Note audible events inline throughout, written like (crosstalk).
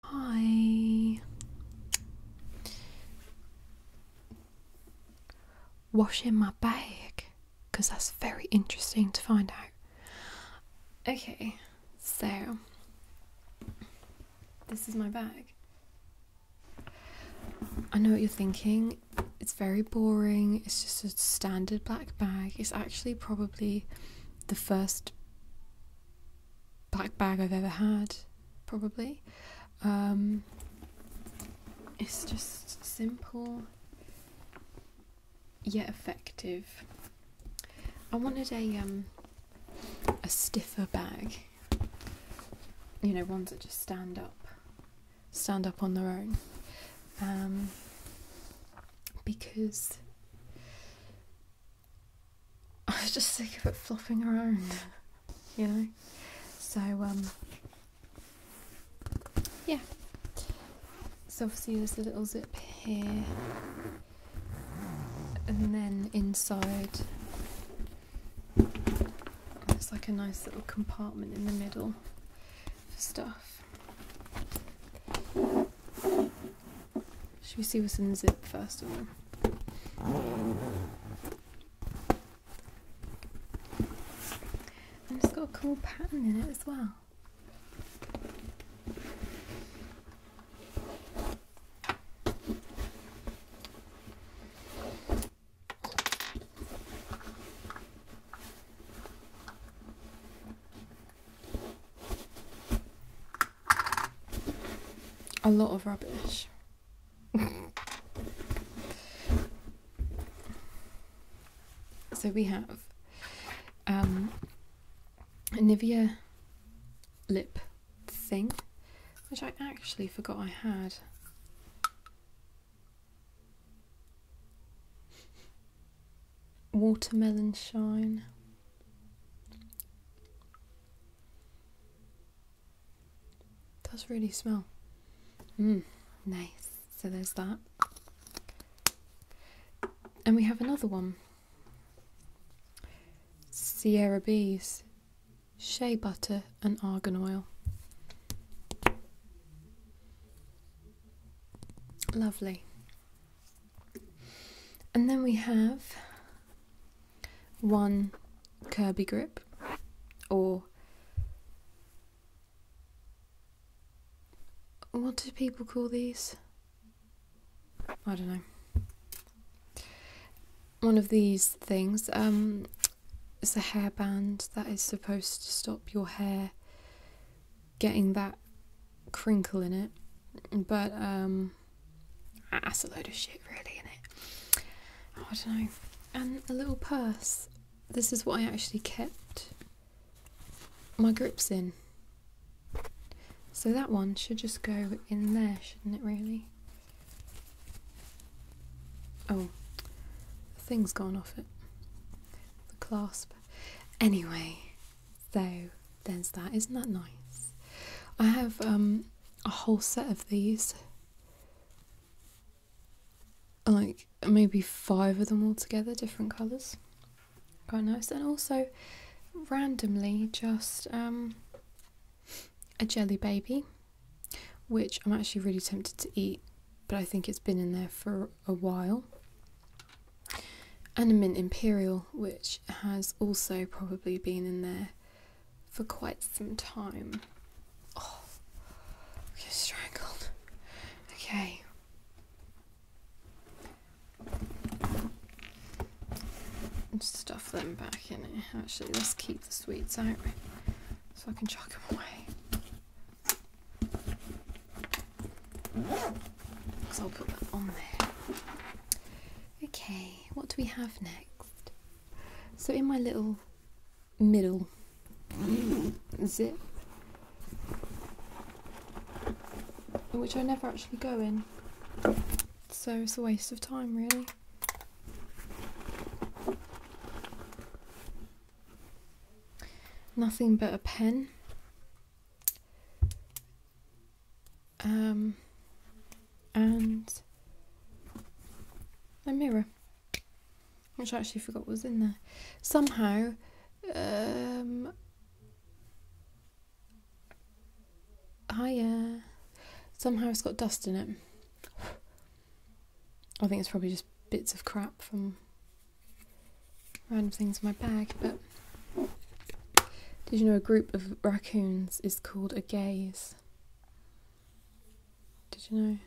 Hi. Washing my bag because that's very interesting to find out. Okay, so this is my bag. I know what you're thinking. It's very boring. It's just a standard black bag. It's actually probably the first black bag I've ever had, probably. Um, it's just simple yet effective. I wanted a um, a stiffer bag. You know, ones that just stand up, stand up on their own. Um, because I was just sick of it flopping around, you know. So um, yeah. So obviously there's a little zip here, and then inside there's like a nice little compartment in the middle for stuff. Should we see what's in the zip first of all? And it's got a cool pattern in it as well a lot of rubbish. (laughs) so we have um, a Nivea lip thing, which I actually forgot I had. Watermelon shine does really smell. Mmm, nice. So there's that. And we have another one. Sierra Bees, shea butter and argan oil. Lovely. And then we have one Kirby grip or what do people call these? I don't know. One of these things. Um, it's a band that is supposed to stop your hair getting that crinkle in it, but um, that's a load of shit, really, isn't it? Oh, I don't know. And a little purse. This is what I actually kept my grips in. So that one should just go in there, shouldn't it, really? Oh, the thing's gone off it. The clasp. Anyway, so there's that. Isn't that nice? I have um, a whole set of these. Like maybe five of them all together, different colours. Quite nice. And also, randomly, just um, a jelly baby, which I'm actually really tempted to eat, but I think it's been in there for a while. And a mint imperial, which has also probably been in there for quite some time. Oh, get strangled. Okay. Stuff them back in it. Actually, let's keep the sweets out so I can chuck them away. Because I'll put that on there. Okay what do we have next? So, in my little middle zip, which I never actually go in, so it's a waste of time, really. Nothing but a pen um, and a mirror, which I actually forgot was in there. Somehow, um, yeah, uh, somehow it's got dust in it. I think it's probably just bits of crap from random things in my bag, but did you know a group of raccoons is called a gaze? Did you know?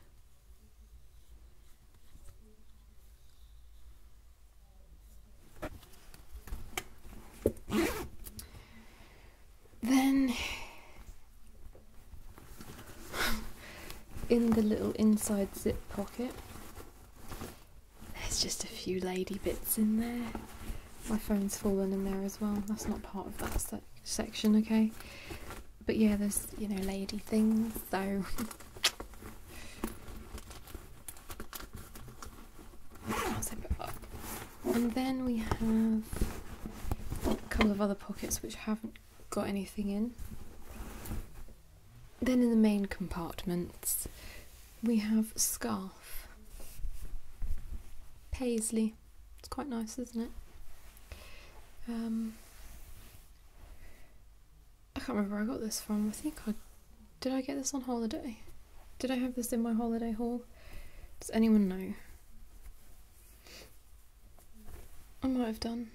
then in the little inside zip pocket there's just a few lady bits in there my phone's fallen in there as well. That's not part of that section, okay? But yeah, there's, you know, lady things, so. (laughs) And then we have a couple of other pockets which haven't got anything in. Then in the main compartments, we have scarf. Paisley. It's quite nice, isn't it? Um, I can't remember where I got this from. I think I did. I get this on holiday. Did I have this in my holiday haul? Does anyone know? I might have done.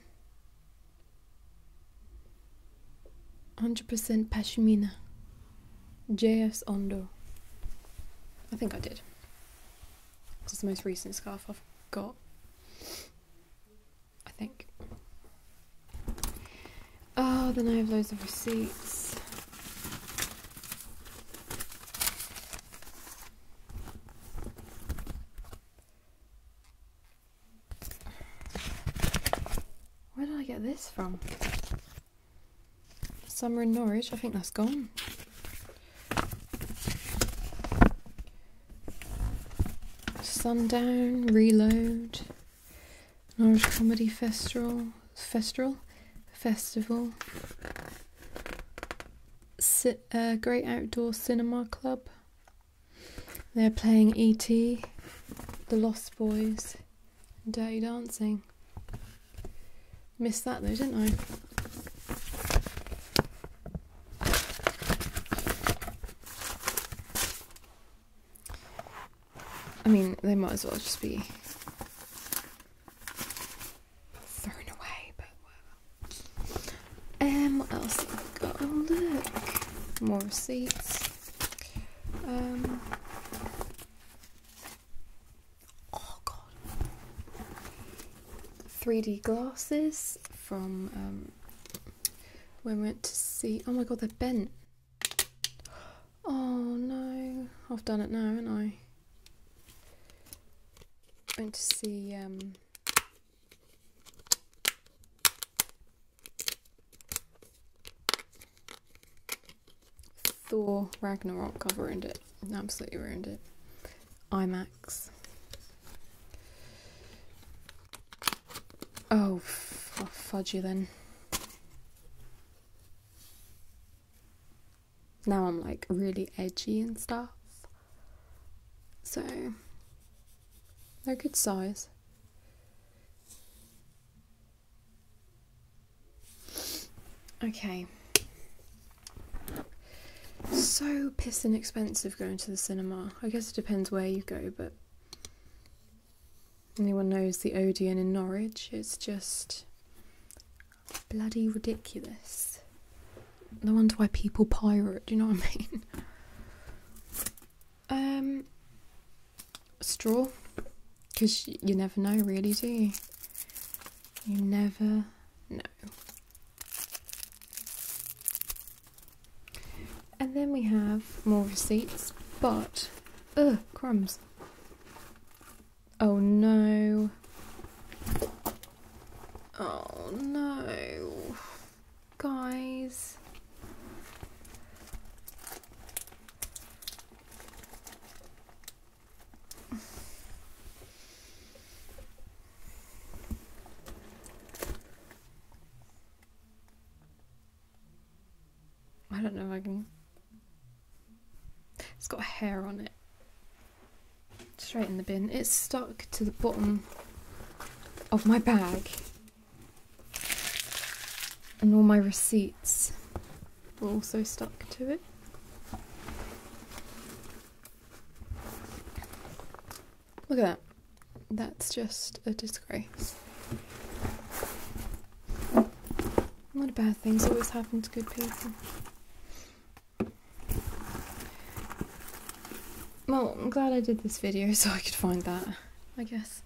100% pashmina. J.S. Ondo. I think I did. Because it's the most recent scarf I've got. I think. Oh, then I have loads of receipts. Where did I get this from? Summer in Norwich, I think that's gone. Sundown, Reload, Norwich Comedy Festival, Festival, Festival, uh, Great Outdoor Cinema Club. They're playing E.T., The Lost Boys, Dirty Dancing. Missed that though, didn't I? I mean, they might as well just be thrown away, but um, what else Oh, look. More receipts. Um, Oh god. 3D glasses from um, when we went to see. Oh my god, they're bent. Oh no. I've done it now, haven't I? Went to see. Um, Thor Ragnarok, I've ruined it. Absolutely ruined it. IMAX. Oh, fudge then. Now I'm like really edgy and stuff. So, they're good size. Okay. So pissing expensive going to the cinema. I guess it depends where you go, but anyone knows the Odeon in Norwich, it's just bloody ridiculous. No wonder why people pirate, do you know what I mean? (laughs) Um straw because you never know, really, do you? You never know. And then we have more receipts, but ugh, crumbs. Oh no. Oh no. Guys. I don't know if I can. It's got hair on it. Straight in the bin. It's stuck to the bottom of my bag. And all my receipts we're also stuck to it. Look at that. That's just a disgrace. A lot of bad things always happen to good people. Well, I'm glad I did this video (laughs) so I could find that, I guess.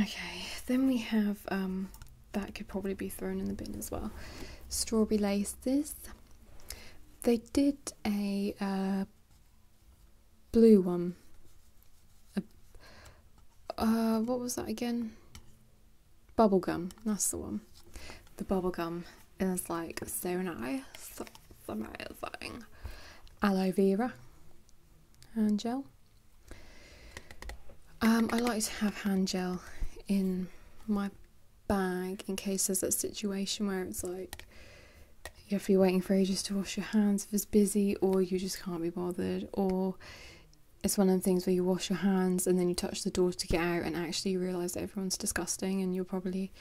Okay, then we have um, that could probably be thrown in the bin as well. Strawberry laces. They did a uh, blue one. A, uh, what was that again? Bubblegum. That's the one. The bubblegum is like so nice. It's amazing. Aloe vera hand gel. Um, I like to have hand gel in my bag in case there's that situation where it's like you have to be waiting for ages to wash your hands if it's busy, or you just can't be bothered, or it's one of the things where you wash your hands and then you touch the doors to get out, and actually you realise everyone's disgusting, and you'll probably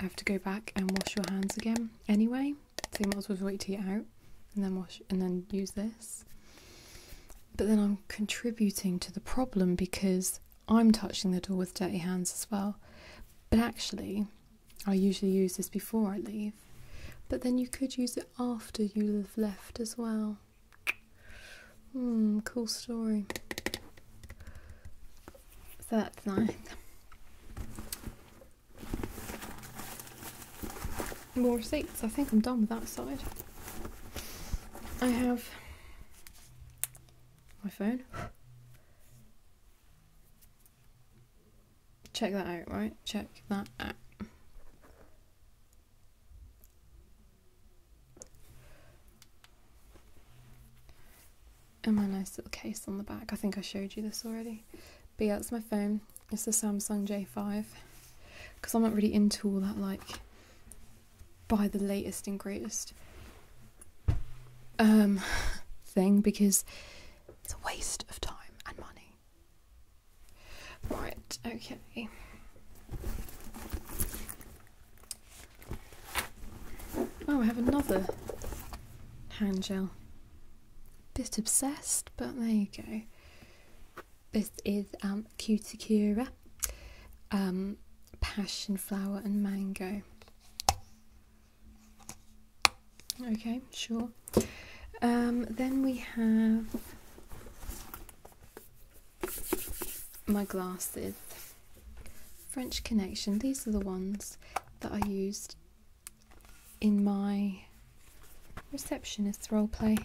have to go back and wash your hands again anyway. So you might as well wait it out and then wash and then use this. But then I'm contributing to the problem because I'm touching the door with dirty hands as well. But actually, I usually use this before I leave. But then you could use it after you have left as well. Hmm, cool story. So that's nice. More receipts. I think I'm done with that side. I have my phone. Check that out, right? Check that out. And my nice little case on the back. I think I showed you this already. But yeah, it's my phone. It's the Samsung J5 because I'm not really into all that like buy the latest and greatest um (sighs) thing because it's a waste of time and money. Right, okay. Oh, I have another hand gel bit obsessed, but there you go. This is um, Cura, um, passion flower and mango. Okay, sure. Um, then we have my glasses, French Connection. These are the ones that I used in my receptionist role play.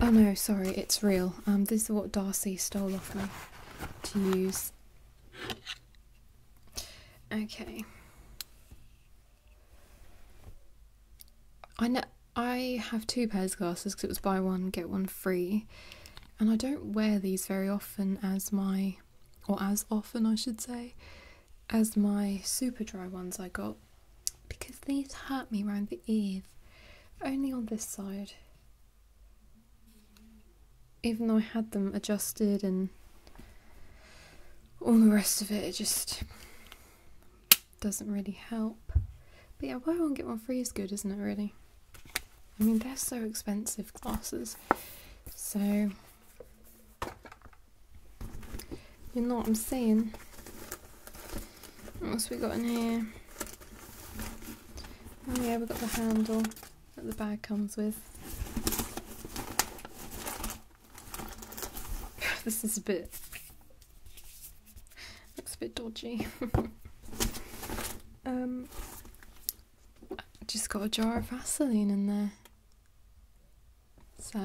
Oh no, sorry, it's real. Um, this is what Darcy stole off me to use. Okay. I know I have two pairs of glasses because it was buy one get one free, and I don't wear these very often as my, or as often I should say, as my super dry ones I got because these hurt me round the ears, only on this side. Even though I had them adjusted and all the rest of it, it just doesn't really help. But yeah, buy one get one free is good, isn't it? Really. I mean, they're so expensive glasses, so you know what I'm saying? What we got in here? Oh yeah, we've got the handle that the bag comes with. (laughs) this is a bit... looks a bit dodgy. (laughs) um, just got a jar of Vaseline in there. So,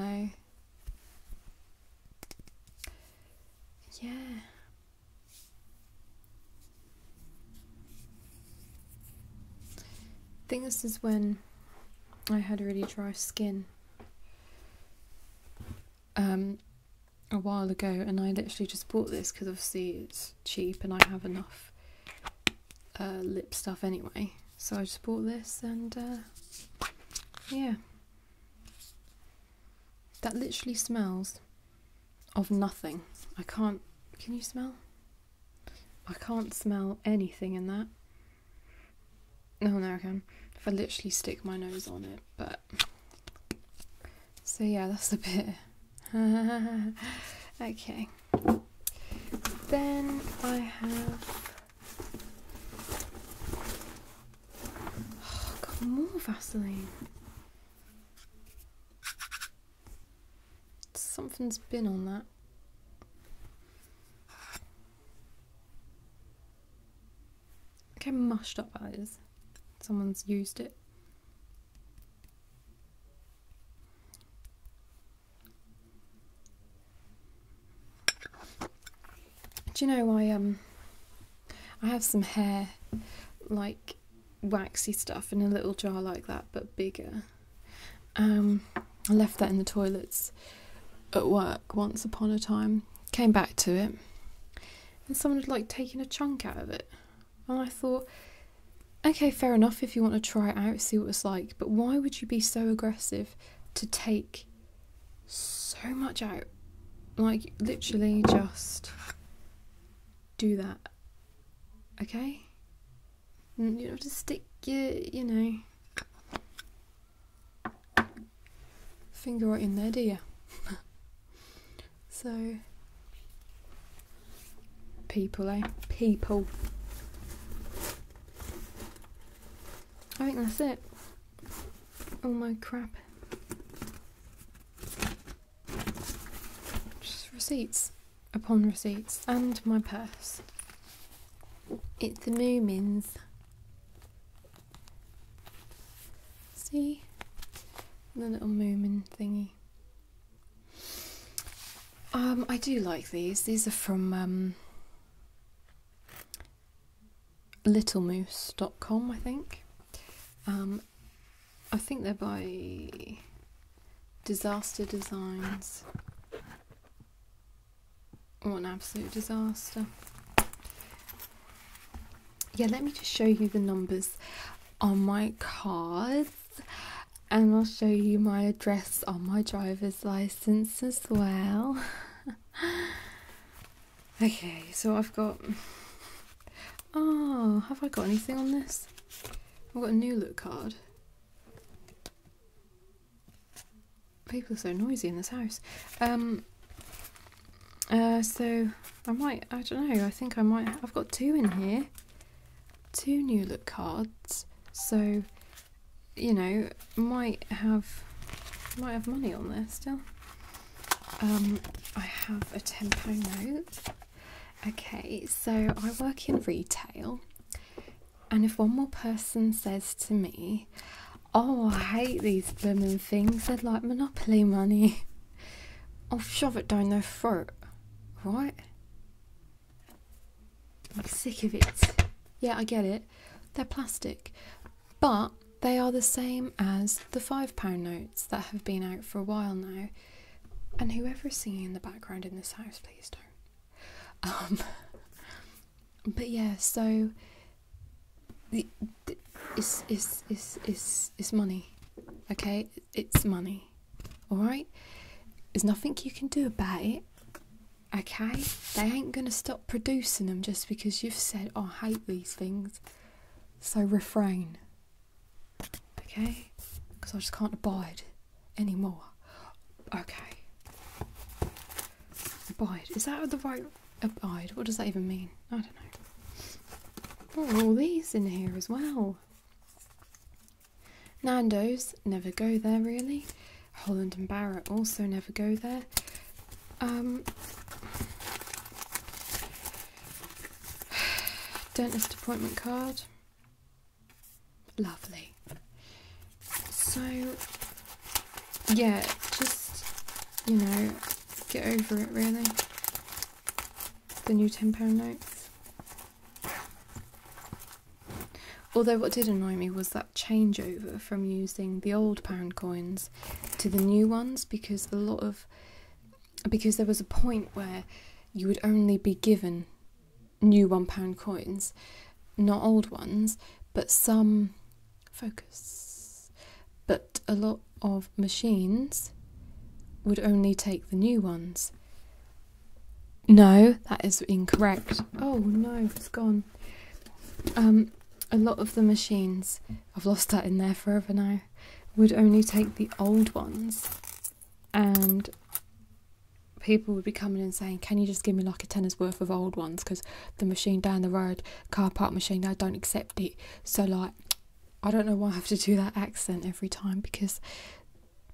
yeah. I think this is when I had really dry skin um, a while ago, and I literally just bought this because obviously it's cheap and I have enough uh, lip stuff anyway. So I just bought this and uh, yeah. That literally smells of nothing. I can't. Can you smell? I can't smell anything in that. No, no, I can. If I literally stick my nose on it, but. So yeah, that's a bit. (laughs) okay. Then I have oh, more Vaseline. Something's been on that. Okay, mushed up that is. Someone's used it. Do you know I um I have some hair like waxy stuff in a little jar like that but bigger. Um, I left that in the toilets at work once upon a time. Came back to it and someone had like taken a chunk out of it. And I thought okay, fair enough if you want to try it out, see what it's like, but why would you be so aggressive to take so much out? Like, literally just do that, okay? You don't have to stick your, you know, finger right in there, do you? (laughs) so, people, eh? People. I think that's it. Oh my crap. receipts upon receipts and my purse. It's the Moomins. See? The little Moomin thingy. Um, I do like these. These are from um, littlemoose.com, I think. Um, I think they're by Disaster Designs. What an absolute disaster. Yeah, let me just show you the numbers on my card and I'll show you my address on my driver's license as well. (laughs) okay, so I've got. Oh, have I got anything on this? I've got a new look card. People are so noisy in this house. Um. Uh, so I might. I don't know. I think I might. I've got two in here. Two new look cards. So you know, might have might have money on there still. Um, I have a ten pound note. Okay, so I work in retail, and if one more person says to me, "Oh, I hate these blooming things. They're like monopoly money," (laughs) I'll shove it down their throat. Right? I'm sick of it. Yeah, I get it. They're plastic. But they are the same as the £5 notes that have been out for a while now. And whoever's singing in the background in this house, please don't. Um, (laughs) but yeah, so the, the, it's, it's, it's, it's, it's money, okay? It's money alright? There's nothing you can do about it, okay? They ain't gonna stop producing them just because you've said, oh, I hate these things. So refrain, okay? Because I just can't abide anymore. Okay. Abide. Is that the right abide? What does that even mean? I don't know. There are all these in here as well. Nando's, never go there really. Holland and Barrett also never go there. Um, (sighs) dentist appointment card. Lovely. So, yeah, just, you know, get over it really. The new £10 notes. Although what did annoy me was that changeover from using the old pound coins to the new ones because a lot of because there was a point where you would only be given new one pound coins, not old ones, but some focus. But a lot of machines would only take the new ones. No, that is incorrect. Oh no, it's gone. Um, a lot of the machines, I've lost that in there forever now, would only take the old ones, and people would be coming and saying, "Can you just give me like a tenner's worth of old ones? Because the machine down the road, car park machine, they don't accept it." So like, I don't know why I have to do that accent every time because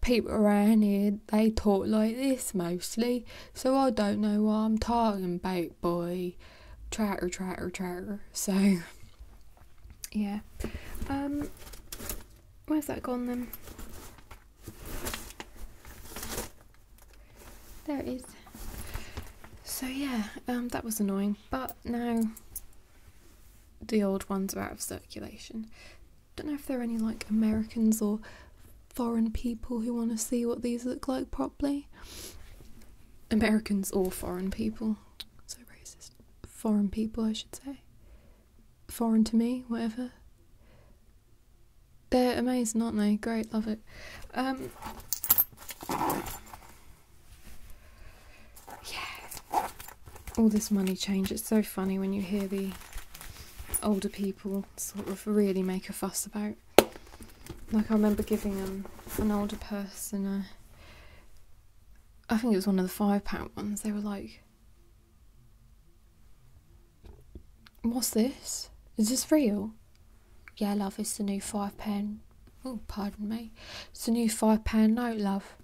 people around here they talk like this mostly, so I don't know what I'm talking about boy. chatter, chatter, chatter. So yeah, um, where's that gone then? There it is. So yeah, um, that was annoying, but now the old ones are out of circulation don't know if there are any like Americans or foreign people who want to see what these look like properly. Americans or foreign people. So racist. Foreign people, I should say. Foreign to me, whatever. They're amazing, aren't they? Great, love it. Um, yeah. All this money change, it's so funny when you hear the older people sort of really make a fuss about. Like I remember giving um, an older person a, I think it was one of the five pound ones. They were like, "What's this? Is this real?" Yeah, love, it's the new five pound. Oh, pardon me, it's the new five pound note, love.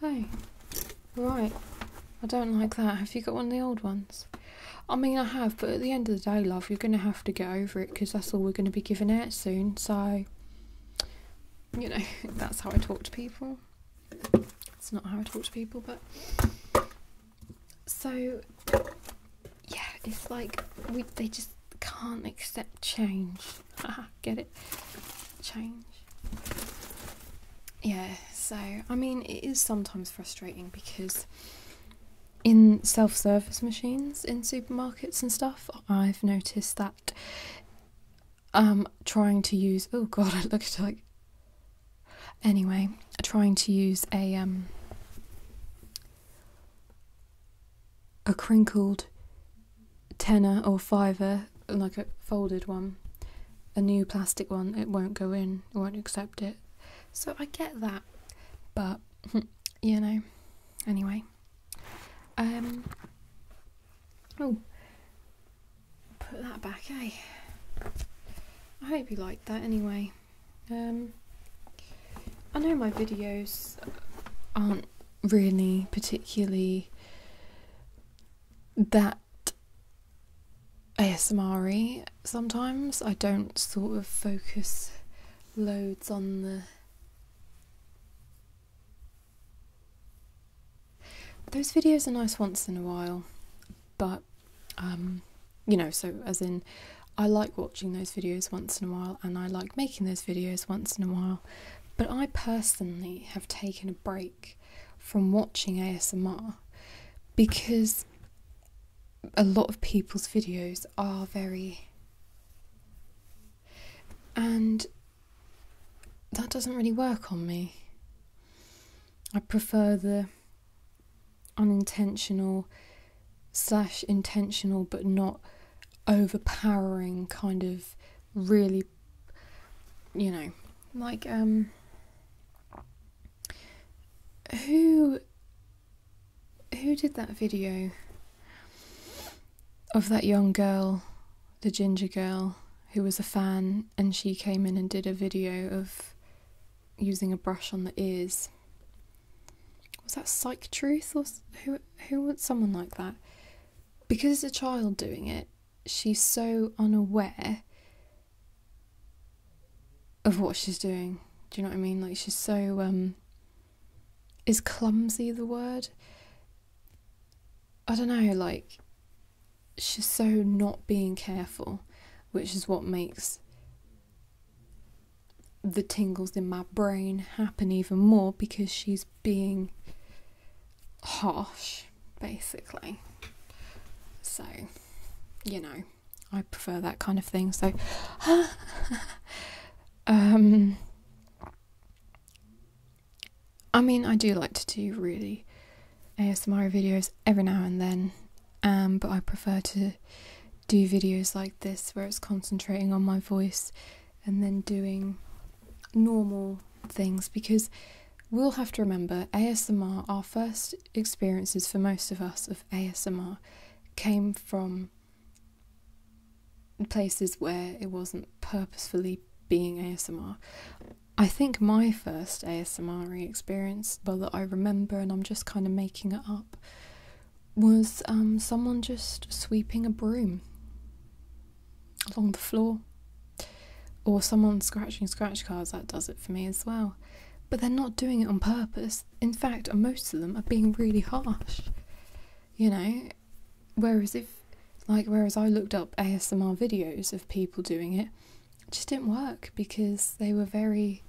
Hey, right. I don't like that. Have you got one of the old ones? I mean, I have, but at the end of the day, love, you're going to have to get over it because that's all we're going to be giving out soon. So, you know, (laughs) that's how I talk to people. It's not how I talk to people, but. So, yeah, it's like we, they just can't accept change. (laughs) get it? change. Yeah, so I mean, it is sometimes frustrating because in self service machines in supermarkets and stuff, I've noticed that um, trying to use oh god, (laughs) I look like anyway, trying to use a um, a crinkled tenner or fiver like a folded one, a new plastic one, it won't go in, it won't accept it. So I get that, but (laughs) you know, anyway. Um, oh, put that back, eh? I hope you liked that anyway. Um, I know my videos aren't really particularly that ASMR sometimes. I don't sort of focus loads on the those videos are nice once in a while, but um, you know, so as in I like watching those videos once in a while and I like making those videos once in a while, but I personally have taken a break from watching ASMR because a lot of people's videos are very. And that doesn't really work on me. I prefer the unintentional slash intentional but not overpowering kind of really you know, like um who who did that video of that young girl, the ginger girl who was a fan and she came in and did a video of using a brush on the ears. Was that Psych Truth or who who someone like that? Because it's a child doing it, she's so unaware of what she's doing. Do you know what I mean? Like she's so um is clumsy the word? I don't know, like she's so not being careful, which is what makes the tingles in my brain happen even more because she's being harsh, basically. So, you know, I prefer that kind of thing. So, (laughs) um, I mean, I do like to do really ASMR videos every now and then, um, but I prefer to do videos like this where it's concentrating on my voice and then doing normal things because we'll have to remember ASMR, our first experiences for most of us of ASMR came from places where it wasn't purposefully being ASMR. I think my first ASMR experience, well, that I remember and I'm just kind of making it up, was um, someone just sweeping a broom along the floor or someone scratching scratch cards, that does it for me as well. But they're not doing it on purpose. In fact, most of them are being really harsh. You know, whereas if, like, whereas I looked up ASMR videos of people doing it, it just didn't work because they were very.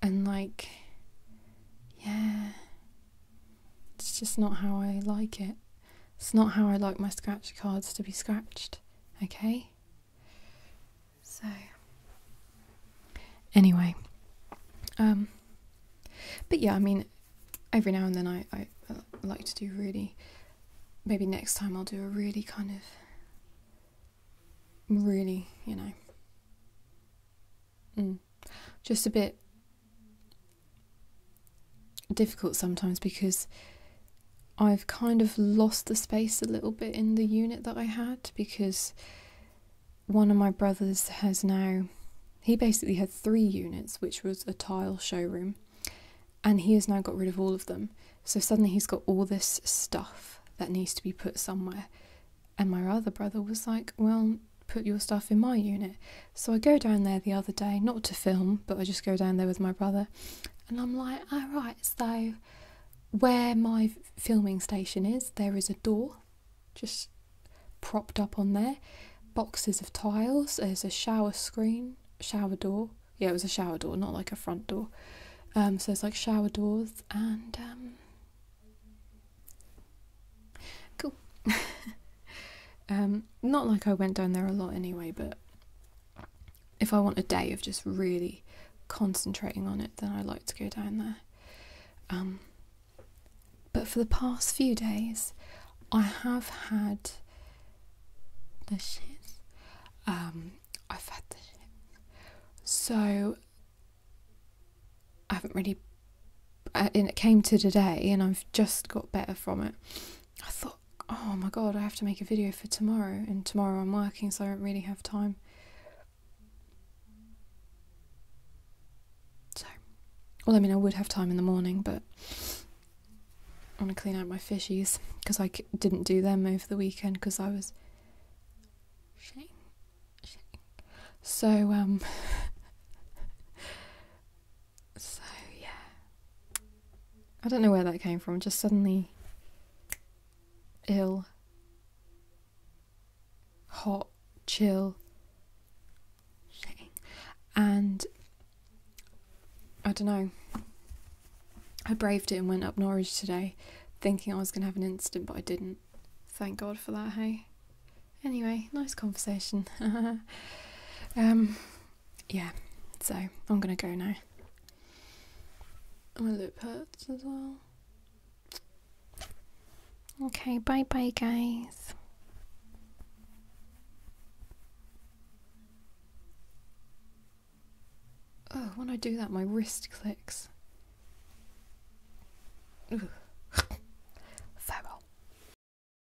And, like, yeah, it's just not how I like it. It's not how I like my scratch cards to be scratched, okay? So, anyway, um, but yeah, I mean, every now and then I, I, like to do really, maybe next time I'll do a really kind of, really, you know, mm, just a bit difficult sometimes because I've kind of lost the space a little bit in the unit that I had because one of my brothers has now he basically had three units which was a tile showroom and he has now got rid of all of them so suddenly he's got all this stuff that needs to be put somewhere and my other brother was like well put your stuff in my unit so I go down there the other day, not to film, but I just go down there with my brother, and I'm like, all ah, right, so where my filming station is, there is a door just propped up on there, boxes of tiles, there's a shower screen, shower door. Yeah, it was a shower door, not like a front door. Um, so it's like shower doors and um, cool. (laughs) Um, not like I went down there a lot anyway, but if I want a day of just really concentrating on it, then I like to go down there. Um, but for the past few days, I have had the shits. Um, I've had the shits. So I haven't really. Uh, and it came to today, and I've just got better from it. I thought, oh my god, I have to make a video for tomorrow, and tomorrow I'm working, so I don't really have time. So, well, I mean, I would have time in the morning, but I want to clean out my fishies because I c- didn't do them over the weekend because I was. So, um. (laughs) So, yeah. I don't know where that came from, just suddenly ill, hot, chill, shitting. And I don't know. I braved it and went up Norwich today thinking I was going to have an incident, but I didn't. Thank God for that, hey? Anyway, nice conversation. (laughs) um, yeah, so I'm gonna go now. My lip hurts as well. Okay, bye bye, guys. Oh, when I do that, my wrist clicks. Ugh. (laughs)